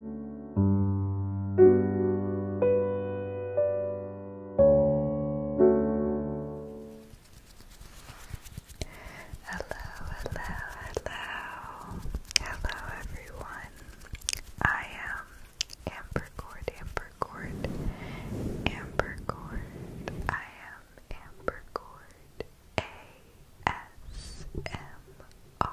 hello, hello, hello everyone. I am Ambercord, Ambercord, Ambercord. I am Ambercord. A S M R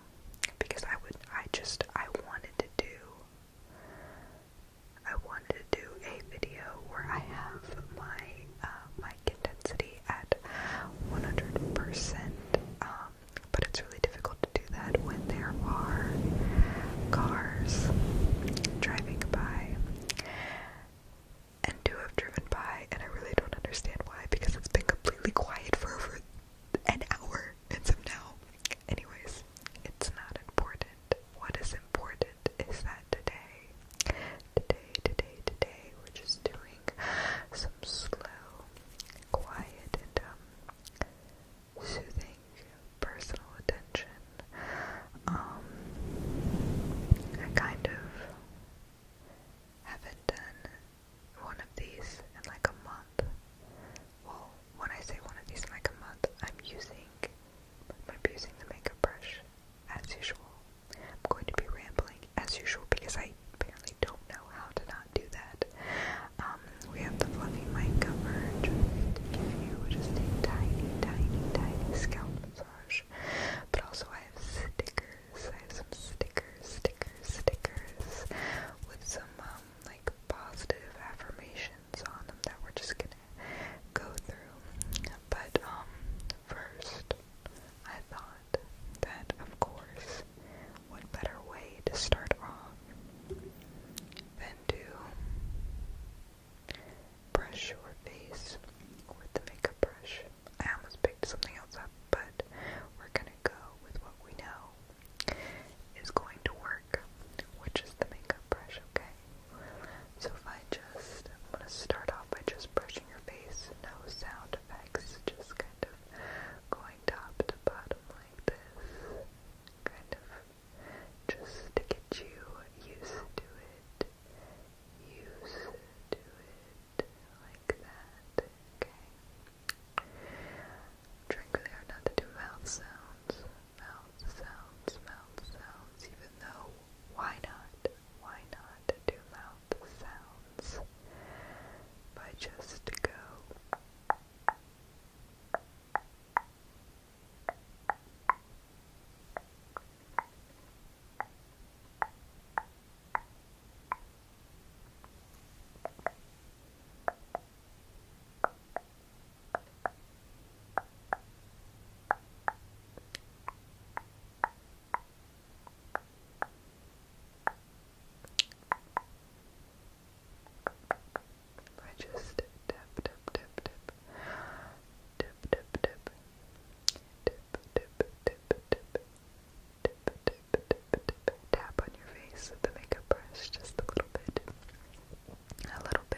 because I would I just I wanted to do I wanted to do a video where I have my uh, mic intensity at 100%, um, but it's really difficult to do that when there are cars driving by and do have driven by, and I really don't understand why because it's been completely quiet for over an hour handsome now. Anyways, it's not important. What is important is that today, today, today, today, we're just doing some slow, quiet, and um, soothing personal attention. Um, I kind of haven't done one of these in like a month. Well, when I say one of these in like a month, I'm using, I'm going using the makeup brush as usual. I'm going to be rambling as usual because I apparently don't know how to not do that. Um, we have the fluffy mic cover trying to give just a tiny, tiny, tiny scalp massage. But also I have stickers. I have some stickers, stickers, stickers with some um, like positive affirmations on them that we're just gonna go through. But um, first I thought that of course what better way to start off than to brush your face with the makeup brush. I almost picked something else up, but we're gonna go with what we know is going to work, which is the makeup brush, okay? So if I just, I'm going to start off by just brushing your face, no sound effects, just kind of going top to bottom like this, kind of just to get you used to it, used to it, like that, okay? drink really hard not to do mouth sounds, mouth sounds, mouth sounds, even though why not, why not do mouth sounds by just to go I just tap tap tap tap tip tip tip tip tip tip tip tip tip tap on your face with the makeup brush, just a little bit, a little bit.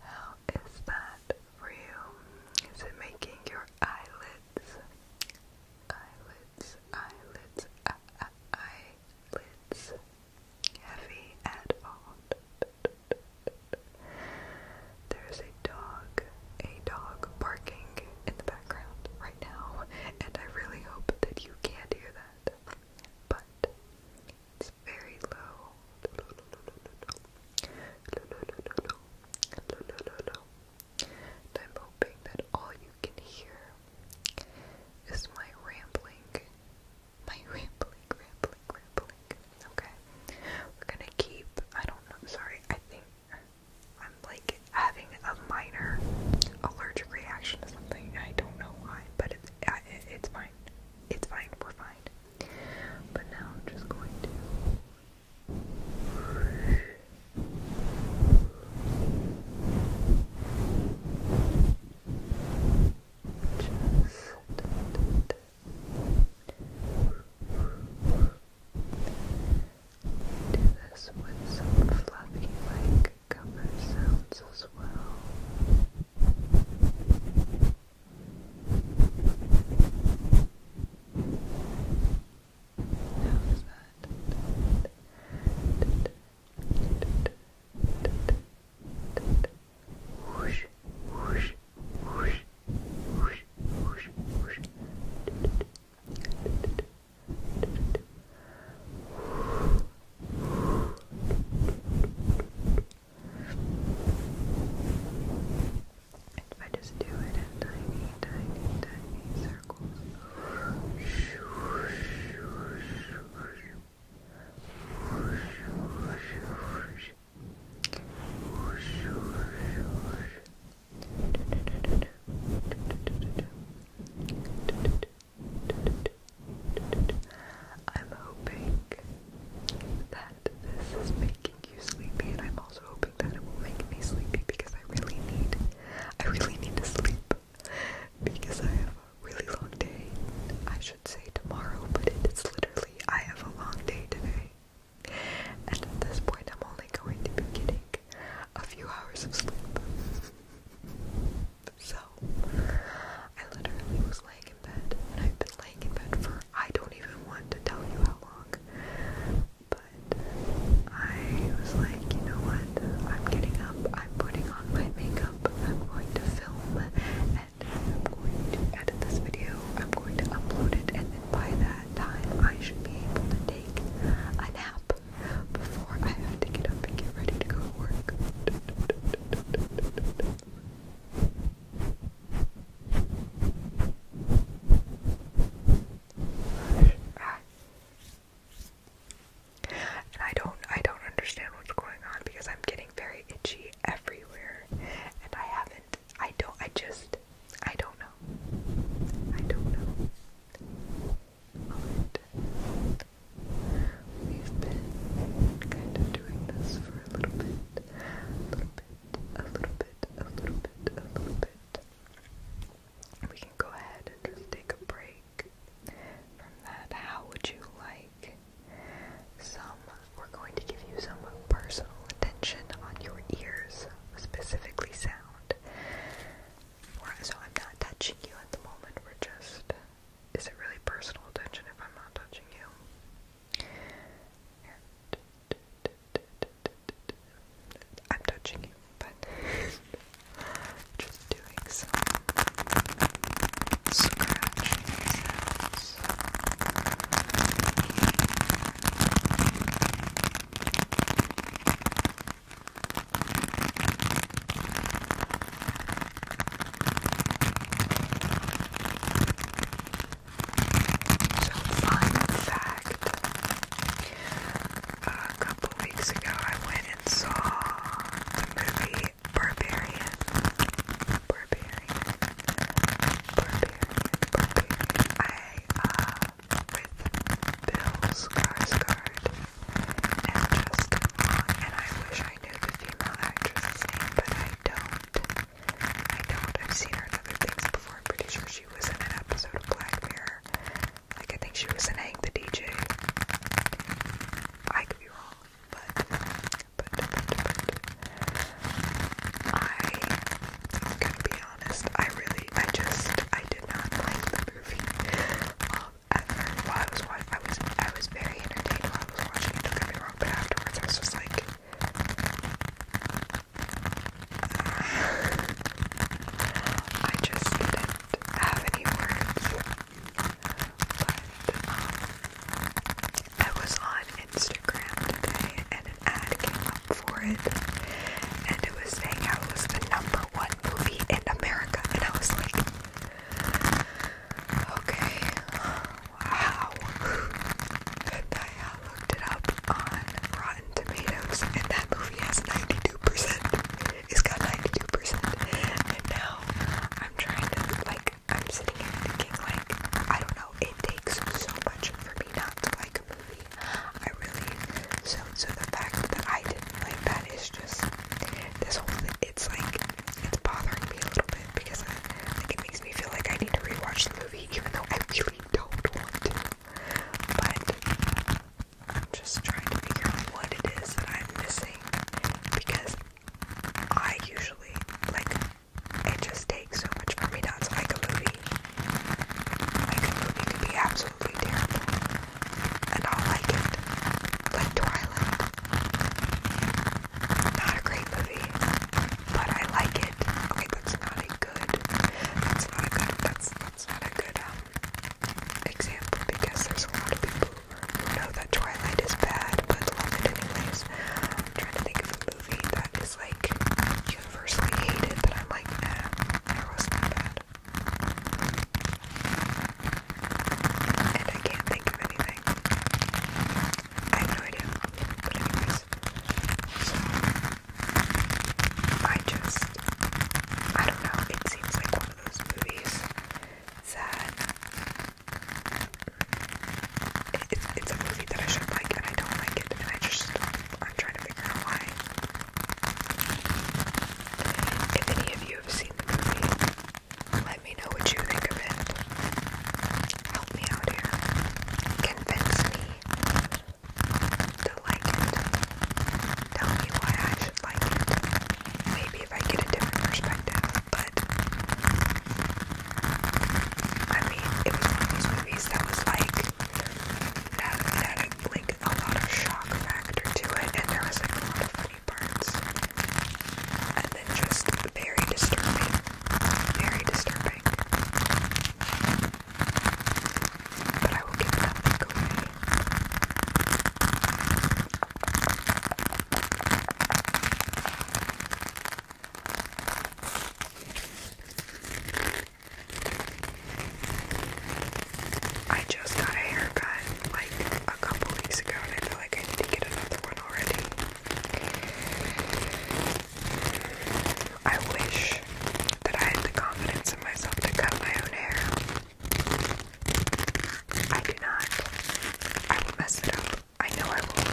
How is that for Is it making your eyelids, eyelids, eyelids, uh, uh, eyelids heavy at all? There's a dog, a dog barking in the background right now, and I really hope that you can't hear that. But it's very low. I'm hoping that all you can hear is my rambling. My rambling, rambling, rambling. Okay. We're gonna keep, I don't know, sorry, I think I'm like having a minor allergic reaction to something. I don't know why, but it's, it's fine. It's fine. We're fine. But now I'm just going to. Just do this with some fluffy like cover sounds as well was that? Whoosh, whoosh, whoosh, whoosh, whoosh, whoosh. If I just do it in tiny, tiny, tiny circles. I'm hoping that this is making you sleepy, and I'm also hoping that it will make me sleepy because I really need, I really need to sleep because I have a really long day. I should say tomorrow, but it's literally I have a long day today, and at this point, I'm only going to be getting a few hours of sleep. So, I literally was laying in bed, and I've been laying in bed for I don't even want to tell you how long. But I was like, you know what? I'm getting up, I'm putting on my makeup, I'm going to film and I'm going to edit this video, I'm going to upload it, and then by that time I should be able to take a nap before I have to get up and get ready to go to work. I don't I don't understand what's going on because I'm getting very itchy everywhere and I haven't I don't I just I don't know. I don't know. we've been kind of doing this for a little bit. A little bit a little bit, a little bit, a little bit. We can go ahead and just take a break from that. How would you like some? We're going to give you some personal attention on your ears, specifically sound. So I'm not touching you at the moment. We're just. Is it really personal attention if I'm not touching you? Here. I'm touching you, but just doing some scratching so fun fact, a couple weeks ago I went and saw the movie Barbarian. Barbarian. Barbarian. Barbarian. I, uh, with Bill Skarsgård and Justin Long, and I wish I knew the female actress's name, but I don't. I do doubt I've seen her in other things before. I'm pretty sure she was in an episode of Black Mirror. Like, I think she was in Hank the DJ. I could be wrong, but, but, but, but, I can be honest. I really, I just, I did not like the movie. Um, while I was watching, I was, I was very entertained while I was watching it, don't get me wrong, but afterwards I was just like, I just didn't have any words. Um, I was on Instagram today and an ad came up for it and it was saying how it was the number one movie in America and I was like okay Wow. I looked it up on Rotten Tomatoes, and that movie has 92%. It's got 92%. And now I'm trying to, like, I'm sitting here thinking, like, I don't know, it takes so much for me not to like a movie. I really, so, so the fact that I didn't like that is just, this whole thing, it's like, it's bothering me a little bit because I, like, it makes makes me feel like I need to rewatch the movie, even though I really don't want to. But I'm just trying to figure out what it is that I'm missing because I usually like it just takes so much for me not to like a movie. Like a movie could be absolutely terrible, and I'll like it. Like Twilight, not a great movie, but I like it. Okay, that's not a good. That's not a good. That's that's not a good um example because there's a lot of people who know that Twilight is bad but love it anyways. I'm trying to think of a movie that is like universally hated that I'm like, nah, eh, that wasn't that bad. And I can't think of anything. I have no idea. But anyways, I just I don't know, it seems like one of those movies that it, it's a movie that I should like and I don't like it and I just I'm trying to figure out why. If any of you have seen the movie, let me know what you think of it. Help me out here. Convince me to like it. Tell me why I should like it. Maybe if I get a different perspective, but I mean, it was one of those movies that was like that had like a lot of shock factor to it, and there was a lot of funny parts, and then just very disturbing. Very disturbing. But I will give that back away. I just got a haircut like a couple weeks ago and I feel like I need to get another one already. I wish that I had the confidence in myself to cut my own hair. I do not. I will mess it up. I know I will.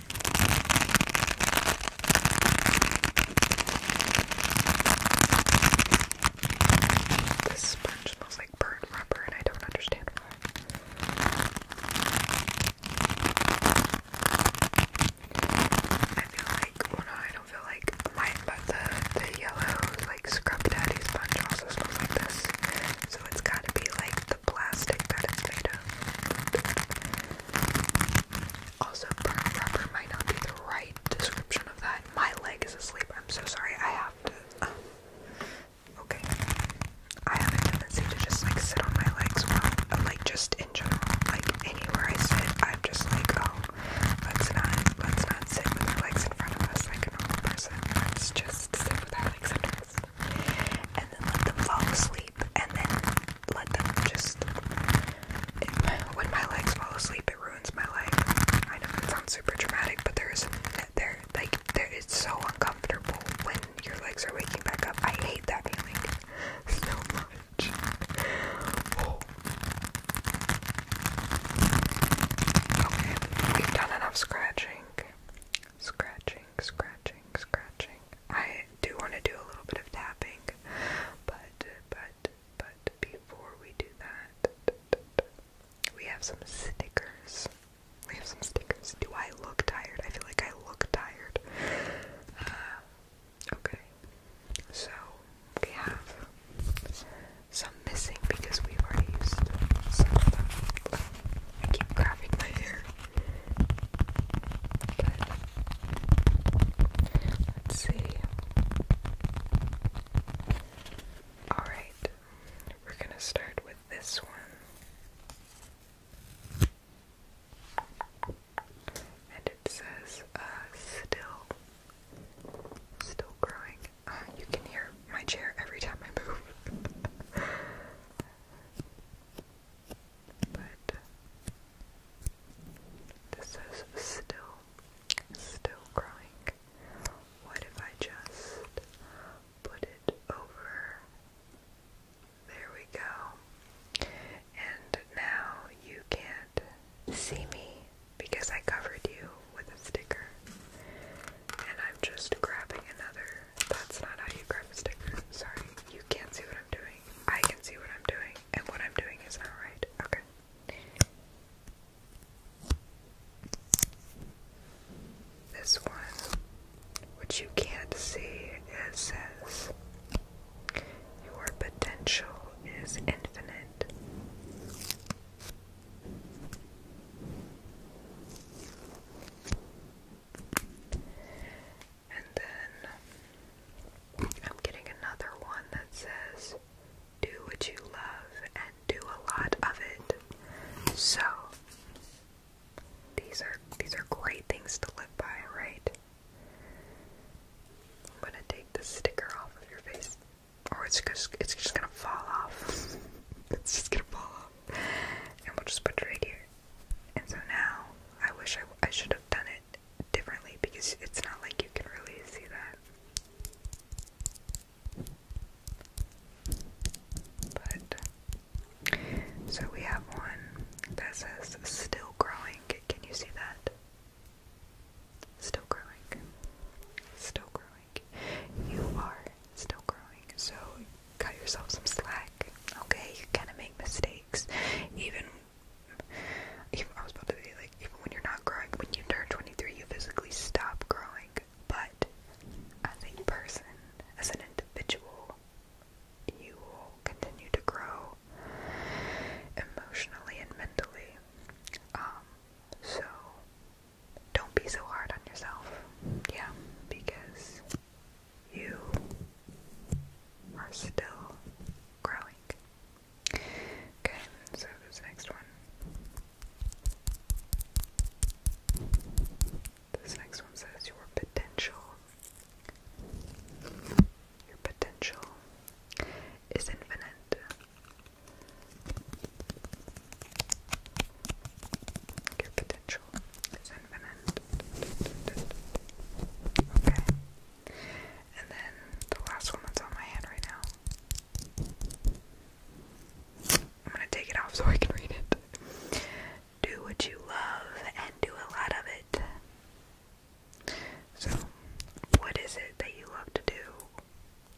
This sponge smells like burnt rubber, and I don't understand why. I feel like, well, I don't feel like but the the yellow like scrub daddy sponge also smells like this, so it's gotta be like plastic that it's made of. Also, burn rubber might not be the right description of that. My leg is asleep. I'm so sorry. I have to. Um, okay. I have a tendency to just like sit on my legs well, uh, like just in general, like anywhere I sit, I'm just like, oh, let's not, let's not sit with our legs in front of us like a person. Let's just sit with our legs under and then let them fall asleep, and then let them just. when my legs fall asleep, it ruins my life. I know it sounds super dramatic, but there is there like there it's so uncomfortable when your legs are waking back up. I hate that feeling so much. Oh. Okay, we've done enough scratching. Scratching, scratching, scratching. I do want to do a little bit of tapping, but, but, but before we do that, we have some stickers. We have some stickers. Do I look tired? I feel like I look tired. Uh, okay. So, we have some missing because we've already used some of them. I keep grabbing my hair. Let's see. Alright, we're going to start with this one. And it says, uh, still, still growing. Uh, you can hear my chair every time I move. but this is still, still growing. What if I just put it over? There we go. And now you can't see me because I covered you with a sticker. And I'm just grabbing another that's not how you grab a sticker. Sorry, you can't see what I'm doing. I can see what I'm doing, and what I'm doing is not right. Okay. This one, which you can't see, it says, Your potential is infinite. And then I'm getting another one that says, Do what you love and do a lot of it. So these are these are great things to live by, right? I'm gonna take the sticker off of your face. Or it's just it's just gonna fall off. it's just gonna fall off. And we'll just put it right here. And so now I wish I, I should have done it differently because it's not like you can really see that. But so we have one that says still growing. Can you see that? Still growing. Still growing. You are still growing. So cut yourself some slack. Okay, you're gonna make mistakes. Even, even I was about to say, like, even when you're not growing, when you turn 23, you physically stop growing. But as a person, as an individual, you will continue to grow emotionally and mentally. Um, so don't be so hard on yourself. Yeah, because you are still growing. Okay, so this next one. This next one says your potential. Your potential is infinite potential infinite. Okay. And then the last one that's on my hand right now. I'm gonna take it off so I can read it. Do what you love and do a lot of it. So, what is it that you love to do?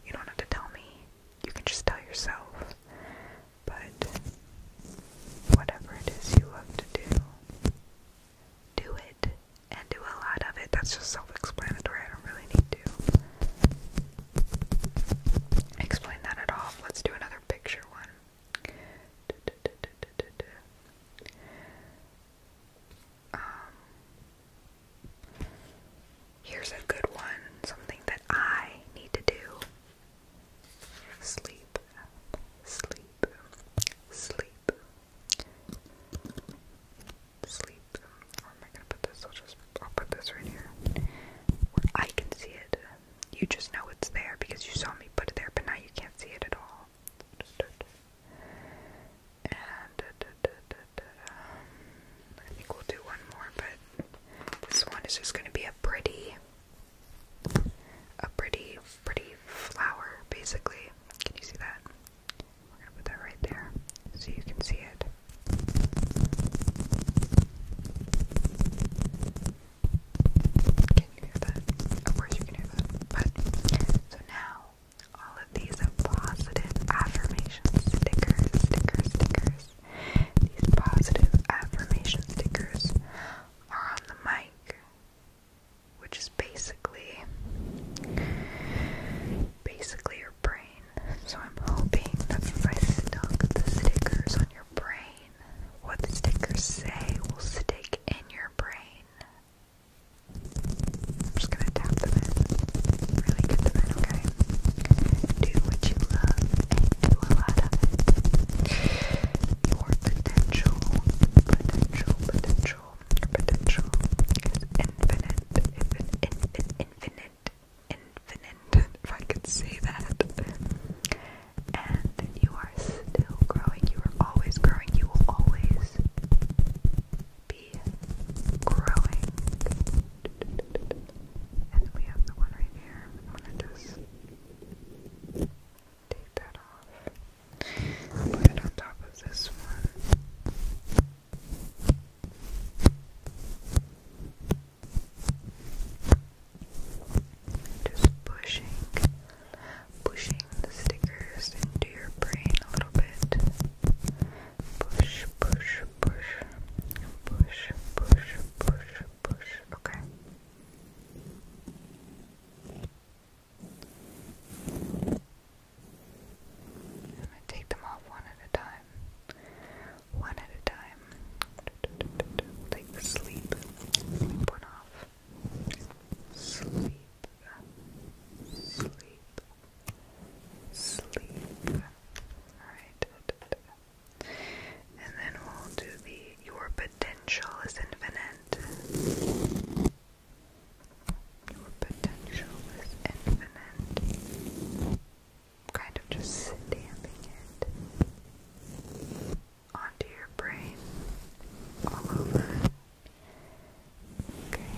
You don't have to tell me. You can just tell yourself. But whatever it is you love to do, do it and do a lot of it. That's just self explanatory. I don't really need to explain that at all. Let's do another picture one. Um, here's a good one, something that I need to do Sleep, sleep, sleep, sleep. Where am I gonna put this? I'll just I'll put this right here. I can see it. You just know it's there because you saw me put it there, but now you can't see it at all. And I think we'll do one more, but this one is just gonna be a pretty a pretty, pretty flower, basically. Can you see that? We're gonna put that right there so you can see it. Can you hear that? Of course you can hear that. so now all of these positive affirmations stickers, stickers, stickers. These positive affirmation stickers are on the mic, which is basically basically your brain. So I'm hoping that if I stuck the stickers on your brain, what the stickers say will stick in your brain. I'm just gonna tap them in. Really get them in, okay? Do what you love your potential, potential, potential, potential is infinite, infinite, infinite, infinite, if I could say that. And you are still growing, you are always growing, you will always be growing. And we have the one right here. I'm going Take that off. Put it on top of this one. Just pushing, pushing the stickers into your brain a little bit. Push, push, push, push, push, push, push. Okay. I'm going to take them off one at a time. One at a time. take the sleep. Sleep one off. Sleep. Sleep. Sleep. Alright. And then we'll do the your potential is infinite. Your potential is infinite. Kind of just stamping it onto your brain all over. Okay.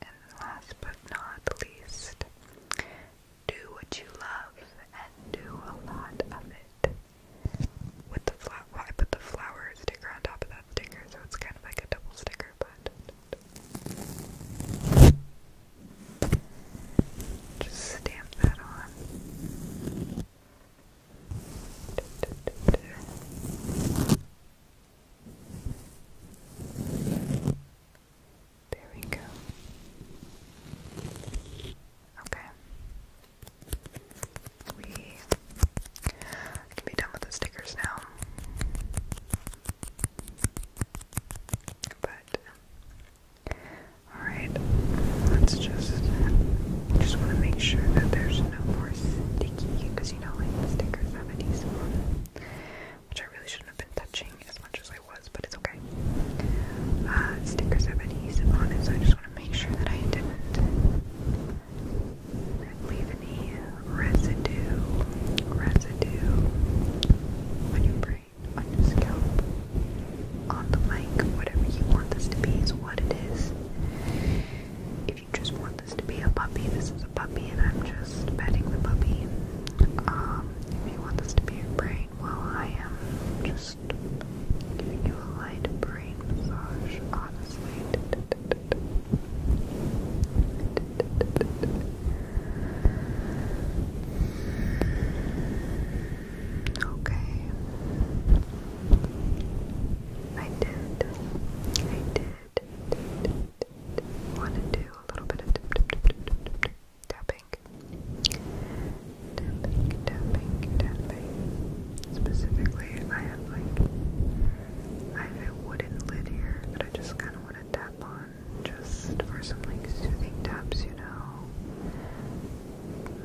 And last but not least, do what you love and do a lot of it. With the flower, I put the flower sticker on top of that sticker, so it's kind of like a double sticker, but. Just stamp that on. There we go. Okay. We can be done with the stickers now. But alright. Let's just just want to make sure that there's no more sticky because you know like the stickers have adhesive on which I really shouldn't have been touching as much as I was, but it's okay. Uh, stickers have adhesive on it, so I just want to make sure that I didn't leave any residue, residue on your brain, on your scalp, on the mic, whatever you want this to be is what it is. If you just want this to be a puppy, this is a puppy, and I'm just petting the puppy. Um, if you want this to be your brain, well, I am just giving you a light brain massage, honestly. Okay. I did. I did. Want to do a little bit of tapping, tapping, tapping, tapping. Specifically, I have like I have a wooden lid here but I just kind of want to tap on, just for some like soothing taps, you know.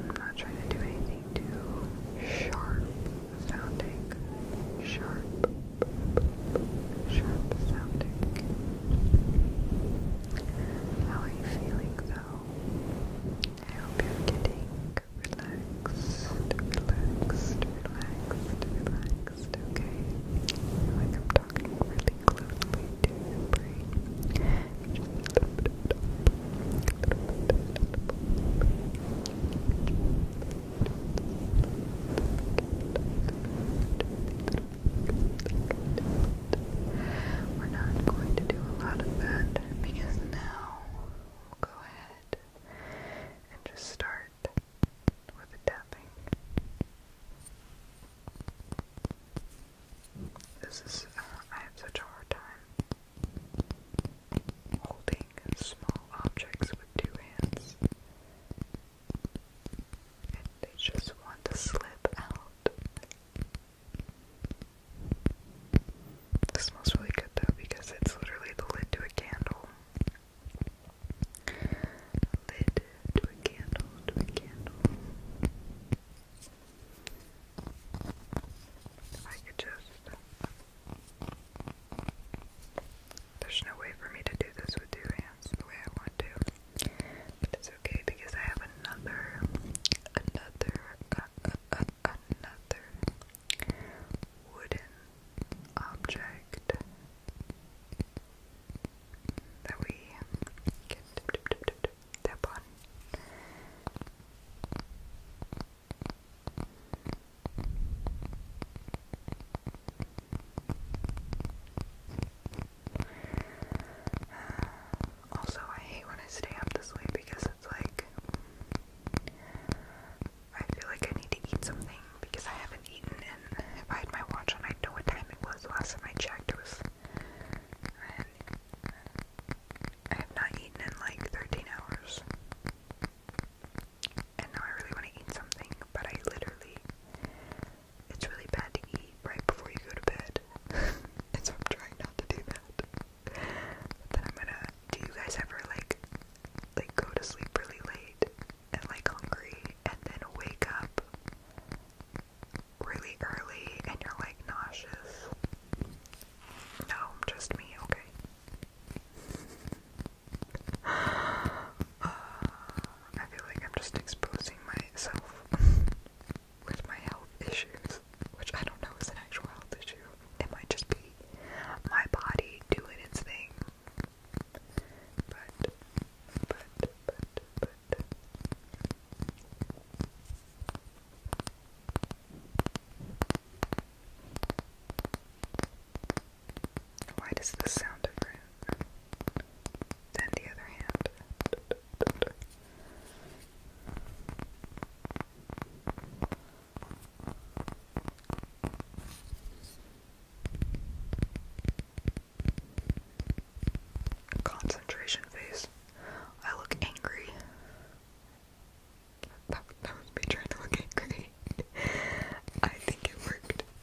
I'm not trying to do anything too sharp sounding, sharp sharp sounding. How are you feeling though? I hope you're getting relaxed, relaxed, relaxed, relaxed, okay? Like I'm talking really closely to your We're not going to do a lot of that because now we'll go ahead and just start with tapping. This is, uh, I have such a hard time holding small objects with two hands they just want to slip out. smells really good though because it's literally the lid to a candle. Lid to a candle, to a candle. I could just. There's no way for me to do this with two hands hands the way I want to. But it's okay because I have another, another, uh, uh, uh, another wooden object that we can dip, tap on. Also, I hate when I stay up this late because it's like I feel like I need to eat something because I haven't eaten, and if I had my watch on, I'd know what time it was. Last time I checked, it was. I have not eaten in like 13 hours. And now I really want to eat something, but I literally it's really bad to eat right before you go to bed. and so I'm trying not to do that. then I'm gonna do you guys ever like like go to sleep really late and like hungry and then wake up really early and you're like nauseous? No, just me, okay. Uh, I feel like I'm just exposing myself with my health issues, which I don't know is an actual health issue. It might just be my body doing its thing. But, but, but, but. Why does this sound different? Then the other hand. Concentration face. I look angry. That, that was me trying to angry. I think it worked.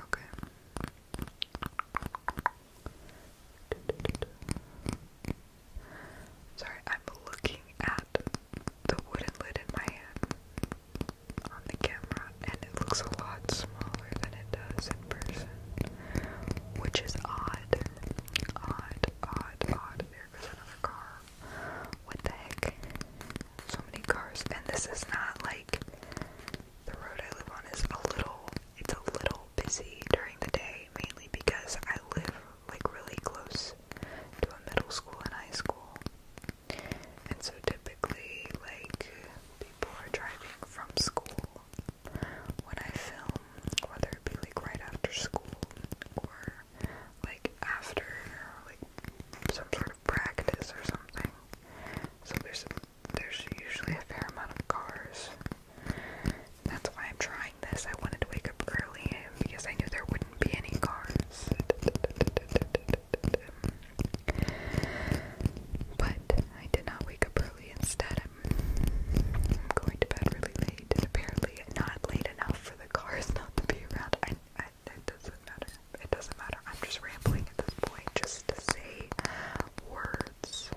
Okay. Sorry, I'm looking at the wooden lid in my hand on the camera, and it looks a lot smaller than it does in person, which is odd. Odd, odd, odd. There another car. What the heck? So many cars. And this is not like the road I live on is a little it's a little busy during the day, mainly because I live like really close to a middle school and high school. And so typically like people are driving from school when I film, whether it be like right after school or like after like some sort of practice or something. So there's there's usually a fair amount of cars. That's why I'm trying this. I wanted to wake up early because I knew there wouldn't be any cars. But I did not wake up early. Instead, I'm going to bed really late. Apparently, not late enough for the cars not to be around. It doesn't matter. It doesn't matter. I'm just rambling at this point just to say words.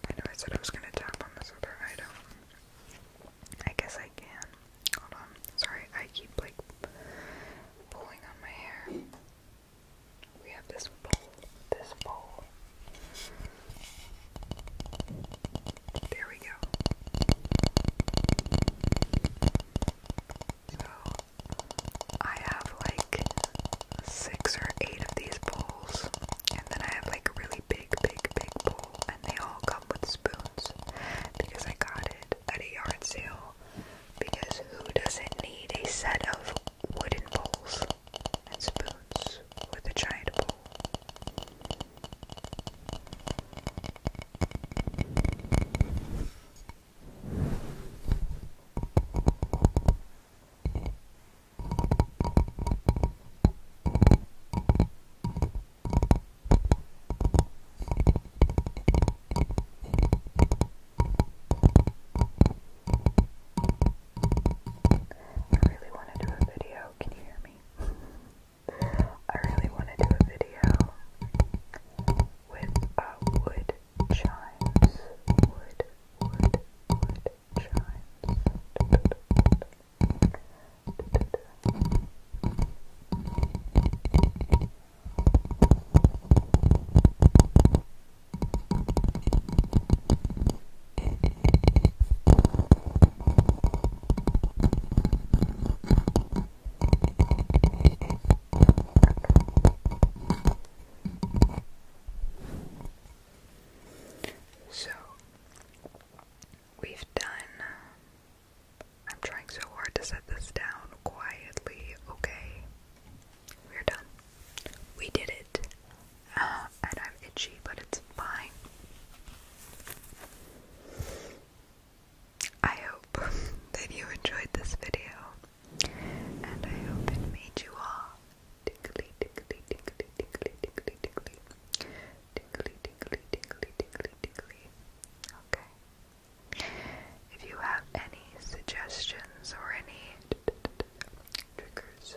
I know I said I was gonna tap on this other item. I guess I can. Hold on. Sorry, I keep like pulling on my hair we have this bowl, this bowl. There we go. So I have like six or eight of these bowls, and then I have like a really big, big, big bowl, and they all come with spoons because I got it at a yard sale. Because who doesn't need a set of wooden bowls and spoons with a giant bowl. I really want to do a video. Can you hear me? I really want to do a video with uh, wood chimes. Wood, wood, wood chimes. So we've done. I'm trying so hard to set this down quietly, okay? We're done. We did it. and I'm itchy, but it's fine. I hope that you enjoyed this video. And I hope it made you all tickly, tickly, tickly, tickly, tickly, tickly. Tickly, tickly, tickly, tickly, tickly. Okay. If you have any suggestions or any triggers,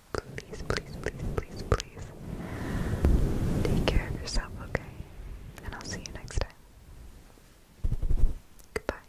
please, please, please, please, please take care of yourself, okay? And I'll see you next time. Goodbye.